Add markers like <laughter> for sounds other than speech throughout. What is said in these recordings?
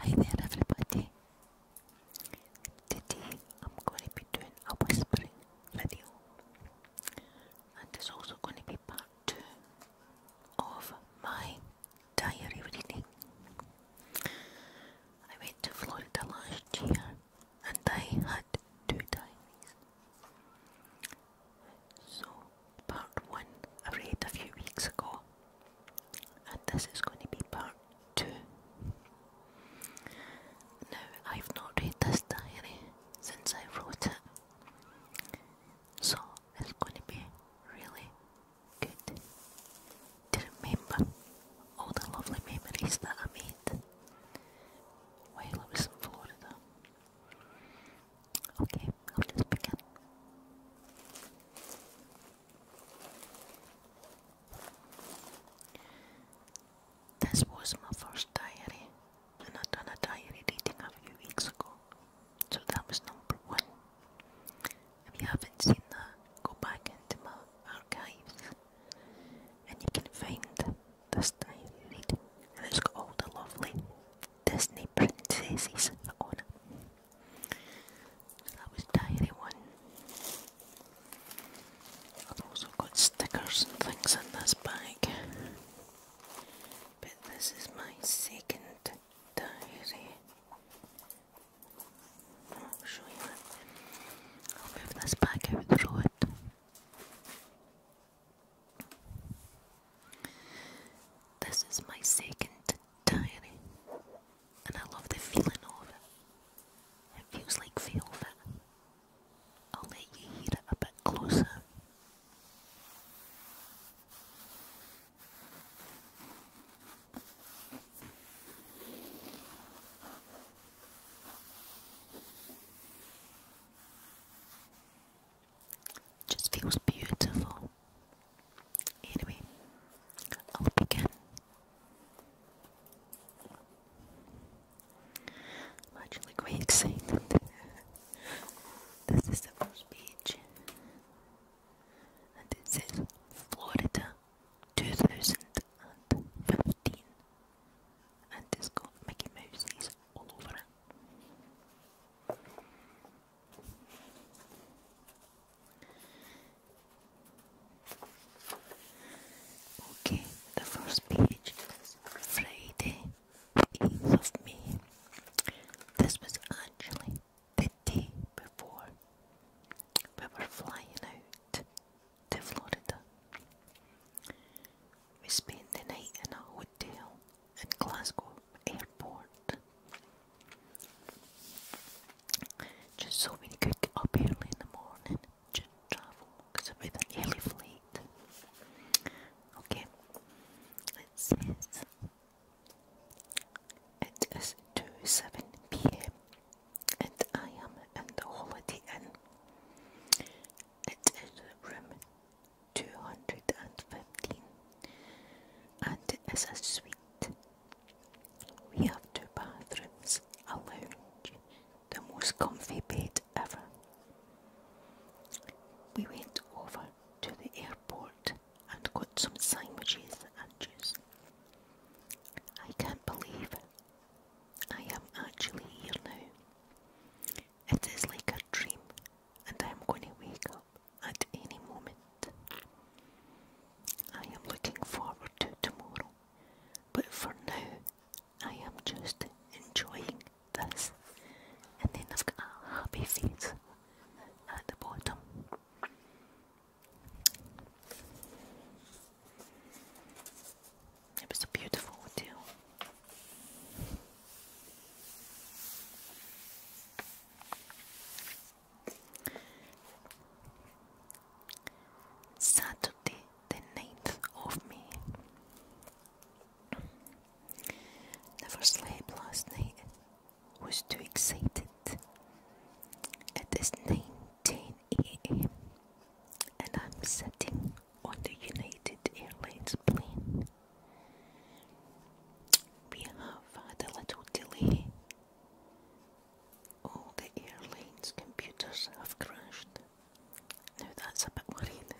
Hi there everybody. Today I'm going to be doing a whispering video and it's also going to be part two of my diary reading. I went to Florida last year and I had two diaries. So part one I read a few weeks ago, and this is going to be part two. Now, I've not read this diary since I wrote it, so it's going to be really good to remember all the lovely memories that I made while I was in Okay, I'll just begin. This was my first diary, and I'd done a diary reading a few weeks ago, so that was number one. If you haven't seen that, go back into my archives and you can find this diary reading, and it's got all the lovely Disney princesses on it. That was diary one. I've also got stickers and things in this bag. But this is my second diary. I'll show I'll move this back out the road. This is my second tiny, and I love the feeling of it. It feels like velvet. I'll let you hear it a bit closer. Just feels beautiful. Anyway, I'll begin. I'm actually quite excited. this is the first page, and it says Florida 2015, and it's got Mickey Mouse's all over it. Okay, the first page is Friday, 8th of May. This was actually the day before we were flying out to Florida. We spent the night in a hotel in Glasgow airport. Just so we could up early in the morning to travel because it was an early flight. Okay, it it is 2 7 pm and I am in the Holiday Inn. It is room 215 and it is a suite. We have two bathrooms, a lounge, the most comfy bed ever. We went over to the airport and got some sandwiches and juice. I can't believe I am actually here now. It is like a dream, and I am going to wake up at any moment. I am looking forward to tomorrow, but for now, I am just enjoying this. And then I've got a happy feet at the bottom. It was a beautiful hotel. Saturday, the 9th of me. Never slept last night, was too excited. It is 9:10 a.m. and I'm sitting on the United Airlines plane we have had a little delay. All the airlines' computers have crashed. Now that's a bit worrying.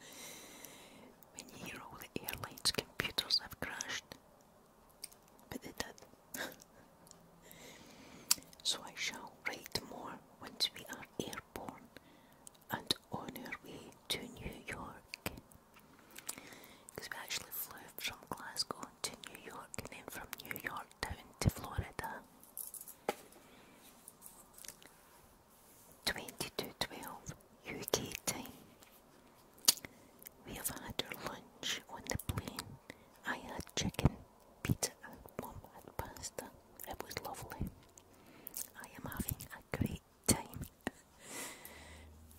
<laughs> when you hear all the airlines' computers have crashed, but they did. <laughs> so I shall write more once we are airborne and on our way to New York. Because we actually flew from Glasgow to New York and then from New York down to Florida. 2212 UK time. We have had our lunch on the plane. I had chicken, pizza, and pasta. It was lovely. I am having a great time.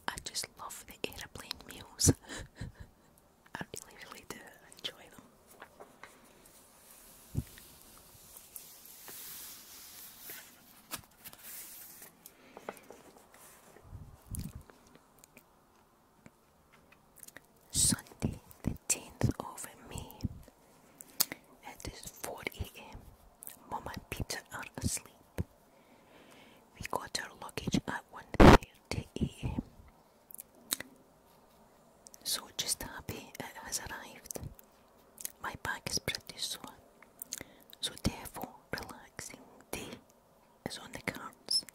I just love the aeroplane meals. <laughs> I really, really do enjoy them. Sunday, the 10th of May. It is 4 a.m. Mum and Peter are asleep. We got our luggage at 1.30 am. So just happy it has arrived. My bag is pretty soon. So therefore relaxing day is on the cards.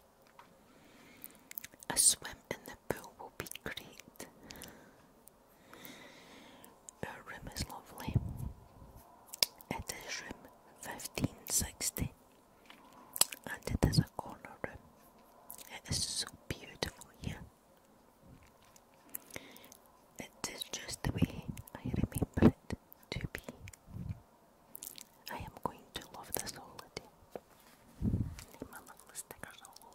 A swim in the pool will be great. Our room is lovely. It is room 1560 and it is a corner room. It is so beautiful here. It is just the way I remember it to be. I am going to love this holiday. Need my little stickers all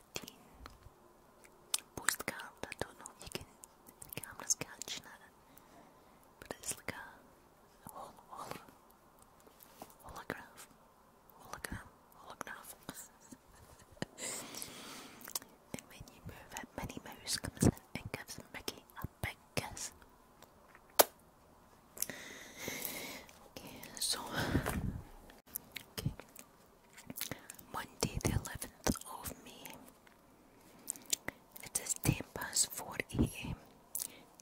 postcard, I don't know you can, the camera's catching it, but it's like a hol hol hologram, <laughs> and when you move it, Minnie Mouse comes in and gives Mickey a big kiss. so, Monday the 11th of May. It is 10 past 4 am.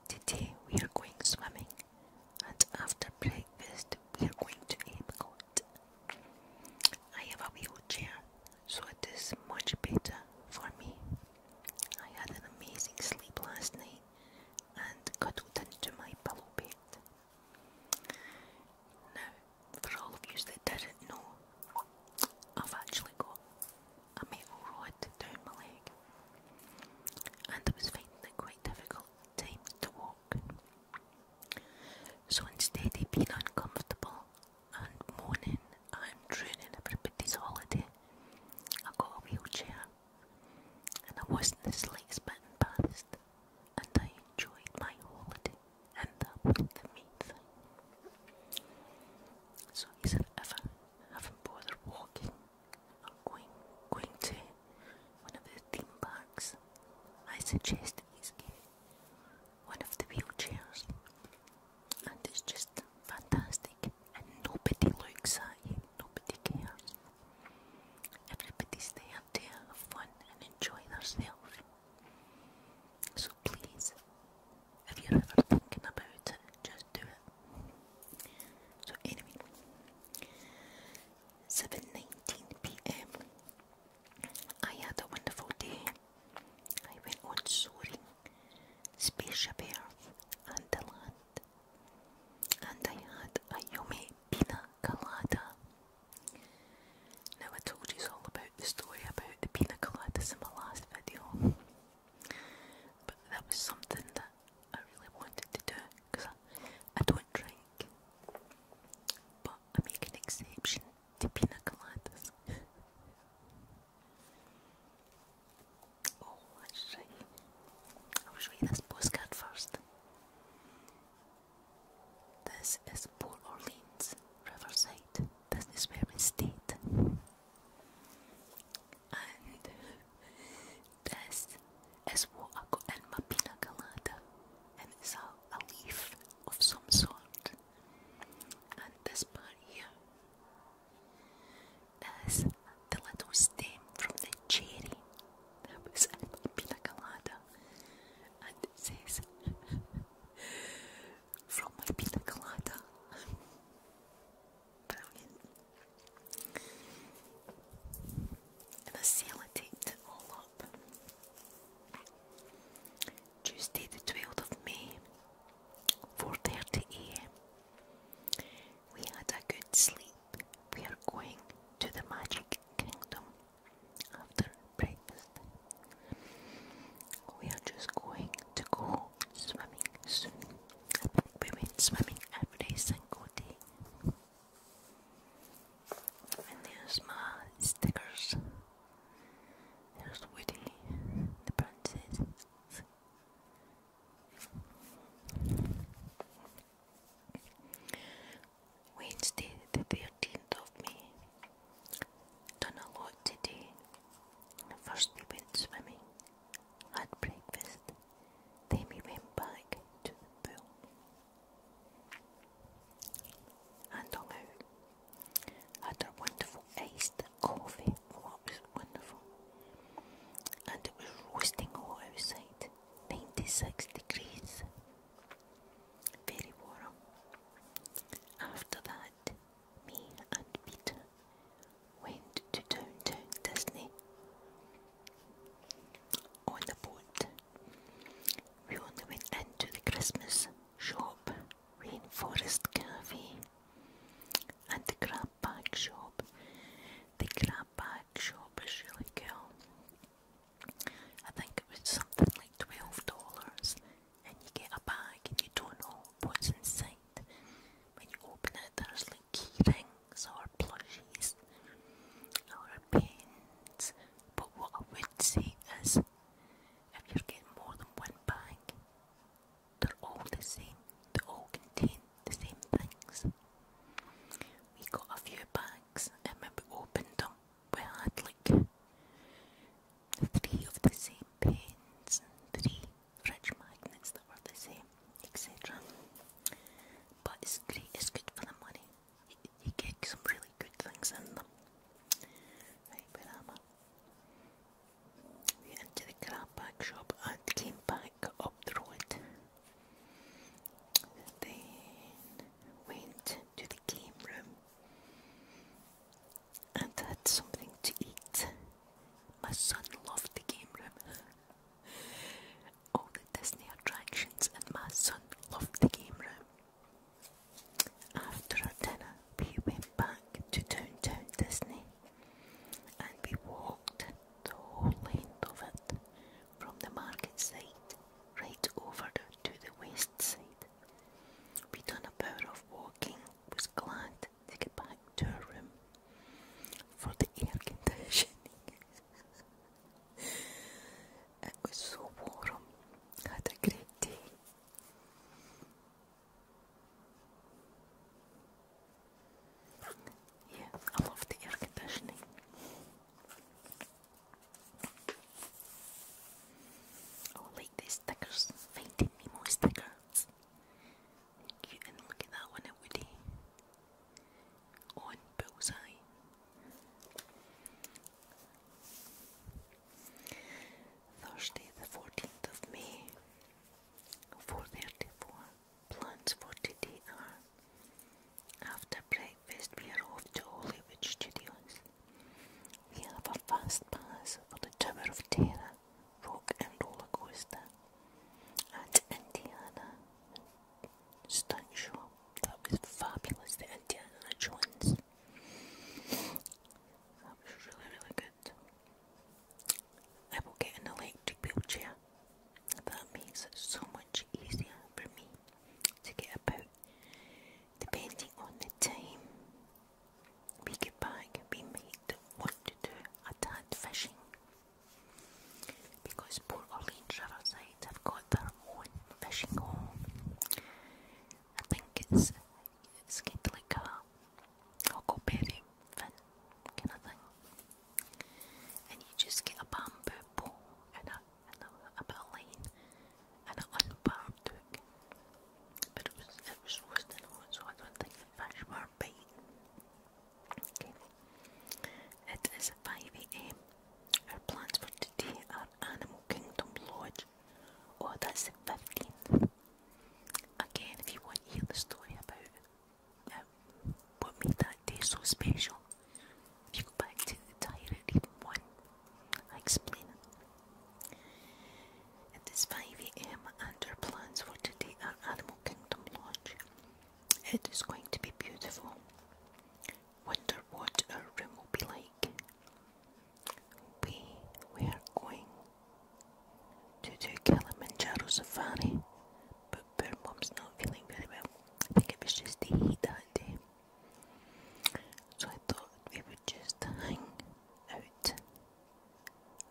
Today we are going swimming and after breakfast we are going to Epcot. I have a wheelchair so it is much better for me. I had an amazing sleep last night and cuddled into my pillow bed. Now, for all of you that didn't know, I've actually got a metal rod down my leg, and I was finding it quite difficult times to walk. So instead of being uncomfortable and moaning and ruining everybody's holiday, I got a wheelchair, and I wasn't the slightest bit and I enjoyed my holiday, and that was the main thing. So he said, haven't bothered walking, I'm going, going to one of the theme parks. I suggested he's get one of the wheelchairs, and it's just fantastic. And nobody looks at you, nobody cares. Everybody's there to have fun and enjoy themselves. So please, if you're ever thinking about it, just do it. So anyway, 7.19pm, I had a wonderful day. I went on soaring, spaceship Earth and the land. And I had a yummy pina colada now I told you all about the story about the pina coladas in my last video, but that was something that I really wanted to do because I, I don't drink, but I make an exception to pina coladas. oh, that's right. I was reading this postcard first. This is Port Orleans, Riverside. This is where we stayed. And <laughs> this is what I got in my pina And it's a, a leaf of some sort. And this part here is the little stem from the cherry that was in my pina And disease from my pina colada. Brilliant. And I it all up. Tuesday the 12th of May, 4.30am. We had a good sleep. We are going to the Magic Kingdom after breakfast. We are just going to go swimming soon. We went swimming every single day. And there's my stickers. There's Woody, the princess. Wednesday, the 13th of May. Done a lot today. First, we went swimming, had breakfast, then we went back to the pool and hung out. Had our wonderful iced coffee. Oh, was wonderful. And it was roasting hot outside, 96 degrees very warm. After that, me and Peter went to downtown Disney on the boat. We only went into the Christmas shop, Rainforest Cafe, and the Crab Shop. The Crab Shop is really cool. I think it was something like twelve dollars, and you get a bag and you don't know what's inside. When you open it, there's like key rings or plushies or pins. But what I would say is, if you're getting more than one bag, they're all the same. They all contain the same things. We got a few bags and when we opened them, we had like three of the same pens and three fridge magnets that were the same, etc. But it's great, it's good for the money. You, get some really good things in them. Right, We went the crab shop and came back up the road. Then went to the game room and had something to eat. My son loved the game room. All the Disney attractions, and my son loved the game room. After our dinner, we went back to downtown Disney and we walked the whole length of it from the market site right over to the west west we done about hour of walking, was glad to get back to our room for the air conditioning. <laughs> it was so warm, had a great day. Yeah, I love the air conditioning. Oh, like these stickers, Finding Nemo stickers. look at that one Woody. On Bullseye. Thursday the 14th of May, 4.34, plans for today are after breakfast we are off to Hollywood Studios. We have a fast pass for the Tower of Terror, Rock and Roller Coaster, and Indiana Stunt Show. That was fabulous, the Indiana Jones. That was really, really good. I will get an electric wheelchair. That makes it so much easier for me to get about depending on the time. We get back, we might want to do a tad fishing because Port Orleans Riverside have got their own fishing hole. I think it's it's kind of fin kind of thing, and you just get a bamboo pole and a a bit of It is 5am. Our plans for today are Animal Kingdom Lodge. Oh that's the fifteenth. Again if you want to hear the story about uh, what made that day so special if you go back to the diary reading one, I explain It is 5am our plans for today are Animal Kingdom Lodge. It is going to be beautiful. Wonder what our room will be like. We we are going to do Kilimanjaro Safari, but poor mom's not feeling very well. I think it was just the heat that day. So I thought we would just hang out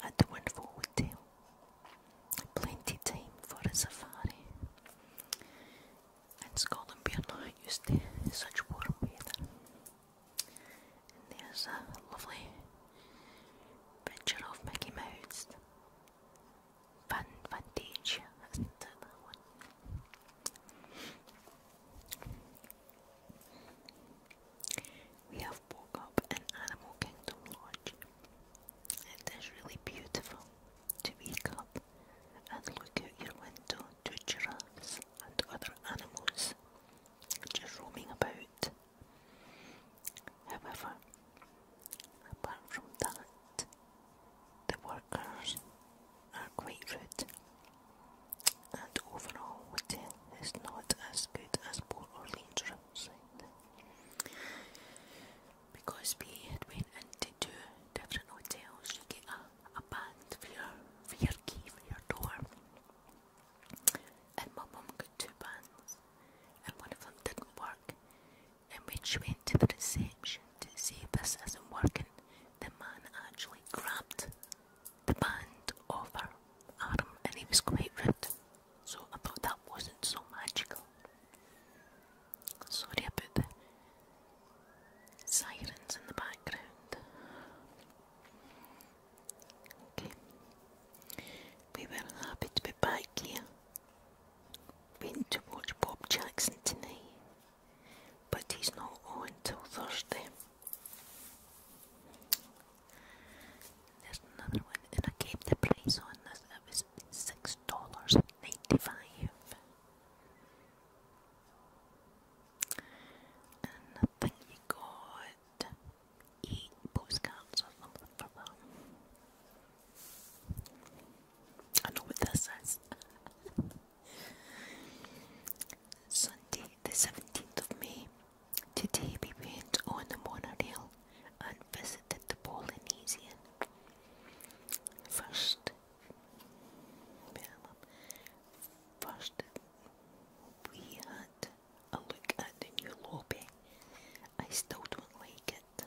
at the wonderful hotel. Plenty time for a safari. In Scotland we are not used to such warm weather. And there's a lovely picture of Mickey Mouse. Van Fantasia, isn't it one? We have woke up in Animal Kingdom Lodge. It is really beautiful to wake up and look out your window to giraffes and other animals just roaming about. However, apart from that, the workers are quite rude, and overall Whittle is not as good as poor Orleans Riverside. Because we had went into two different hotels, to get a, a band for your, for your key, for your door. And my mom got two bands, and one of them didn't work. And we went to the reception to see if this isn't working, the man actually grabbed the band off her arm and he was quite rude. So I thought that wasn't so magical. Sorry about the sirens in the background. Okay. We were happy to be back here. Been to watch Bob Jackson tonight but he's not on till Thursday. There's another one, and I gave the price on this, it was six dollars ninety five. And I think you got eight postcards or something for that. I know what this is. <laughs> Sunday, the 17th of May. Today we went on the monorail and visited the Polynesian. First, first we had a look at the new lobby. I still don't like it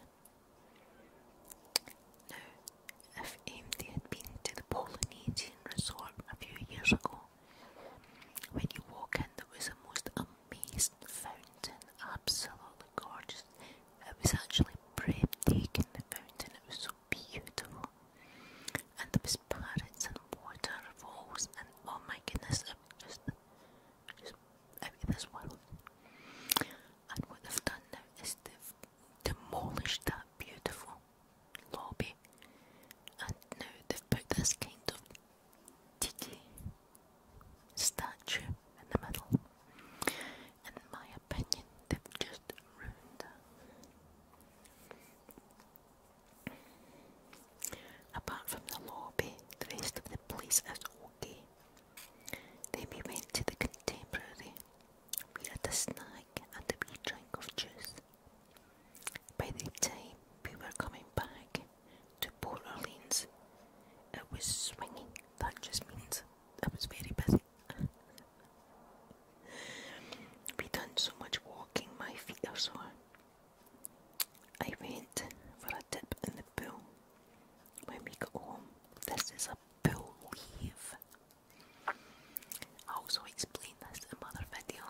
if they had been to the Polynesian resort a few years ago. When you walk in, there was a most amazing fountain, absolutely gorgeous. It was actually breathtaking, the fountain, it was so beautiful. And there was parrots and waterfalls, and oh my goodness, just, just out of this and what they've done now is they've demolished that beautiful lobby and now they've put this kind of tiki statue in the middle. in my opinion, they've just ruined Apart from the lobby, the rest of the place is okay. Then we went to the contemporary we had a snack and a wee drink of juice. By the time we were coming back to Port Orleans, it was swinging. That just means it was very busy. <laughs> we done so much walking, my feet are sore. I went for a dip in the pool when we got home. This is a pool leave. I also explained this in another video.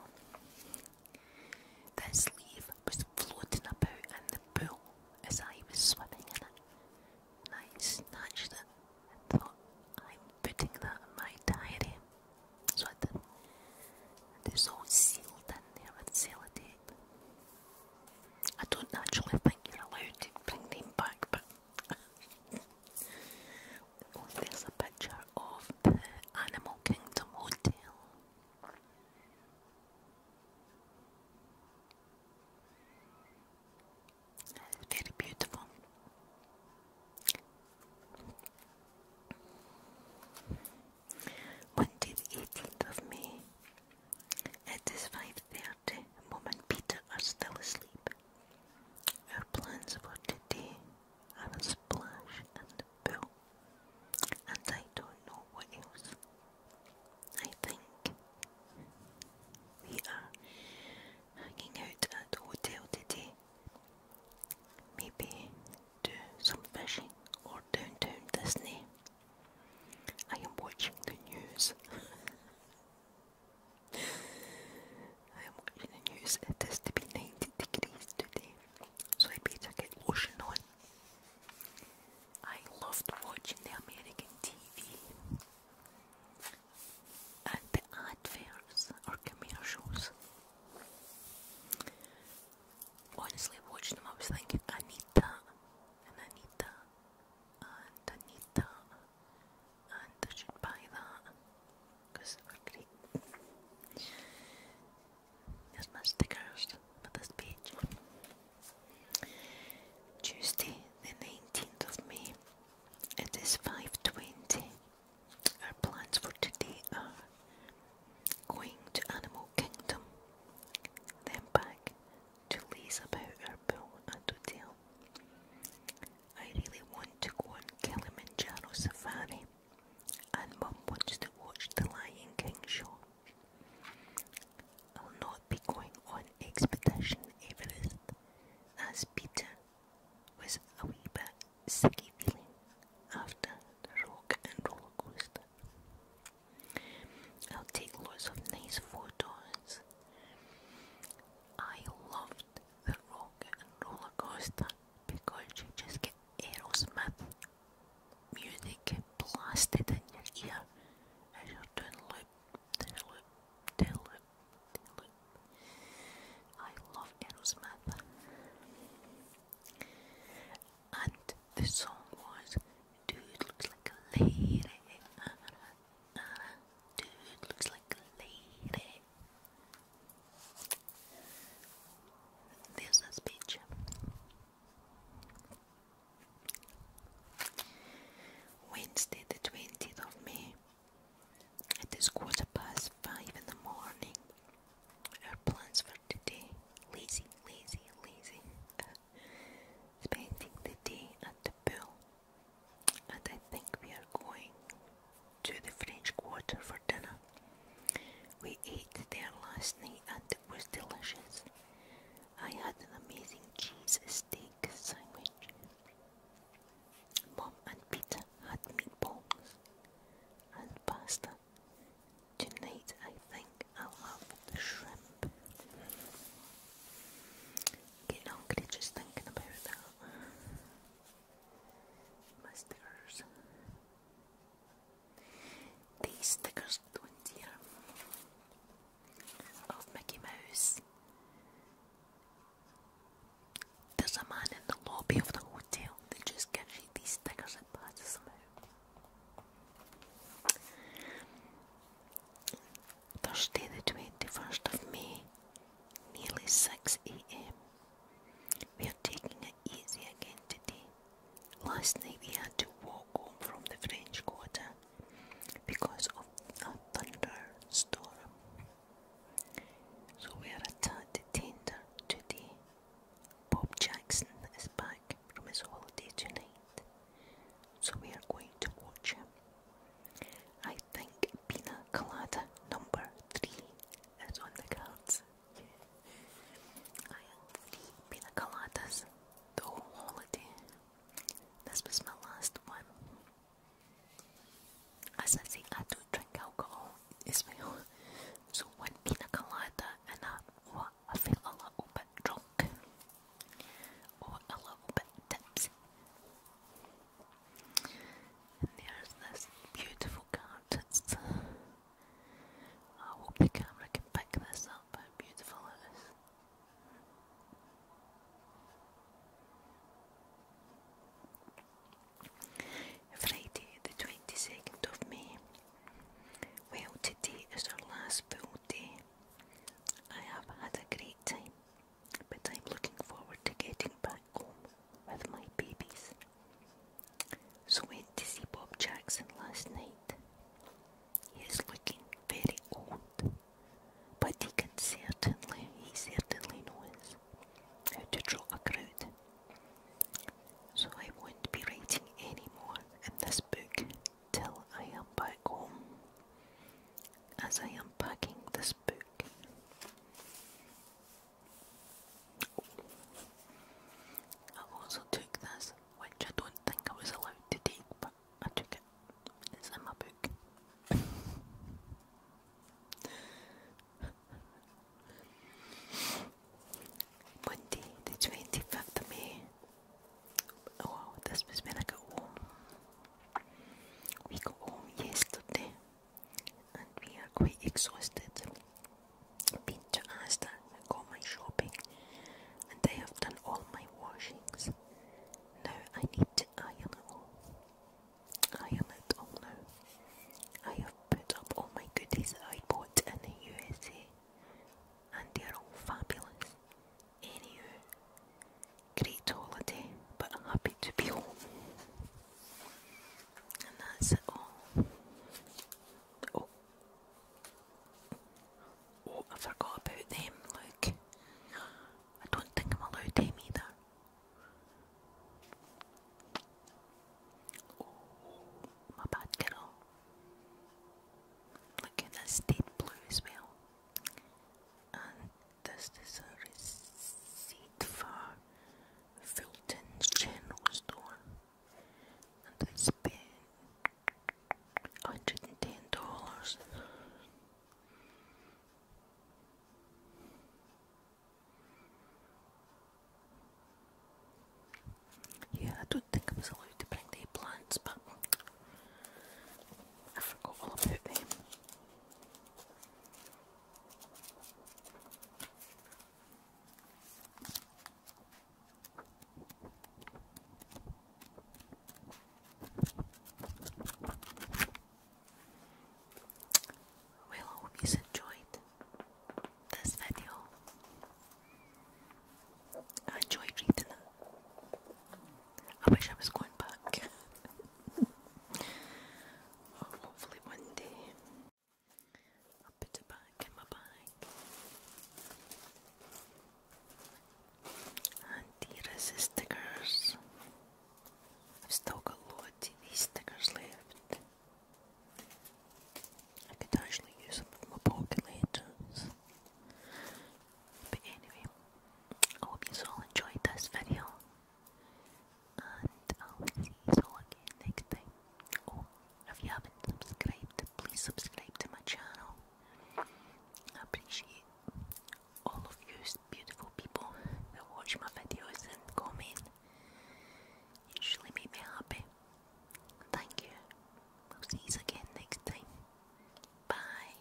This leaf was floating about in the pool as I was swimming in it, I snatched it and thought, I'm putting that in my diary. So it's all sealed in there with sellotape. I don't actually think you're allowed to bring them back, but oh, there's a picture of the Animal Kingdom Hotel. very beautiful. Monday the 18th of May. It is 5.30 Marty and Peter are still asleep. Our plans for today are a splash in the pool, and I don't know what else. I think we are hanging out at the hotel today. Maybe do some fishing or downtown Disney. I am watching the news. <laughs> I am watching the news. It is to be 90 degrees today, so I better get lotion on. I loved watching the American TV and the adverts or commercials. Honestly, watching them, I was thinking, Anita, Anita, that, I should buy that because they were great. There's my stickers for this page. Tuesday, the 19th of May, it is 5.20. Our plans for today are going to Animal Kingdom, then back to Lisa about our pool and hotel. I really want to go on Kilimanjaro Safari and Mum wants to watch the Lion King show. I'll not be going on Expedition Everest as Peter was a wee bit sicky feeling after the rock and roller coaster. I'll take lots of nice photos I loved the Rock and Roller Coaster because you just get Aerosmith music blasted in your ear as you're doing loop, down loop, down loop, down loop. I love Aerosmith. And the song was, dude looks like a lady Dude looks like a lady. There's a speech. Wednesday, the 20th of May. It is quarter past five in the morning. Our plans for today lazy, lazy, lazy. <laughs> spending the day at the pool and I think we are going to the French Quarter for dinner. We ate there last night and it was delicious. I had an amazing cheese steak sandwich. Mom and Peter had meatballs and pasta. Tonight I think I'll have the shrimp. I'm just thinking about that. My stickers. These stickers don't hear of Mickey Mouse. There's a man in the lobby of the hotel that just gives you these stickers and passes them out. Thursday the 21st of May, nearly 6 am. We are taking it easy again today. Last night we had to walk home from the French Quarter because of a thunderstorm. So we are a tad tender today. Bob Jackson is back from his holiday tonight, so we are going to watch him. I think Pina Colada number three is on the cards. I had three Pina Coladas the whole holiday. This was my last one. As I say, I don't drink alcohol as well. So when Pina Colada and I, oh, I felt a little bit drunk. Or oh, a little bit tipsy there's this beautiful card. I hope the camera can pick this up, how beautiful it is. Friday, the 22nd of May. Well, today is our last full day. I have had a great time but I'm looking forward to getting back home with my babies. So went to see Bob Jackson last night. He is looking very old, but he can certainly, he certainly knows how to draw a crowd. So I won't be writing any more in this book till I am back home as I am packing this book. I also took this, which I don't think I was allowed to take, but I took it. It's in my book. <laughs> Monday, the 25th May. Oh, this was when I got home we got home yesterday and we are quite exhausted. Been to Asda and got my shopping and I have done all my washings. Now I need to iron it all. Iron it all now. I have put up all my goodies that I bought in the USA and they're all fabulous. Anywho, great holiday, but happy to be home. And that's it all. Oh. Oh, I forgot about them, look. I don't think I'm allowed them either. Oh, my bad girl. Look at that state blue as well. This is a receipt for Fulton General Store, and I spent hundred and ten dollars. Yeah, I don't think I was allowed to bring the plants, but I forgot all about them. Well, I hope you enjoyed this video. I reading it. I wish I was going back. <laughs> Oh, hopefully one day I'll put it back in my bag. Antiracist stickers. i still got loads of these stickers left. I could actually use them in my pocket later. But anyway, I hope you all enjoyed this video. And I'll see you all again next time. Oh, if you haven't subscribed, please subscribe to my channel. I appreciate all of you beautiful people that watch my videos and comment. You usually make me happy. Thank you. I'll see you again next time. Bye.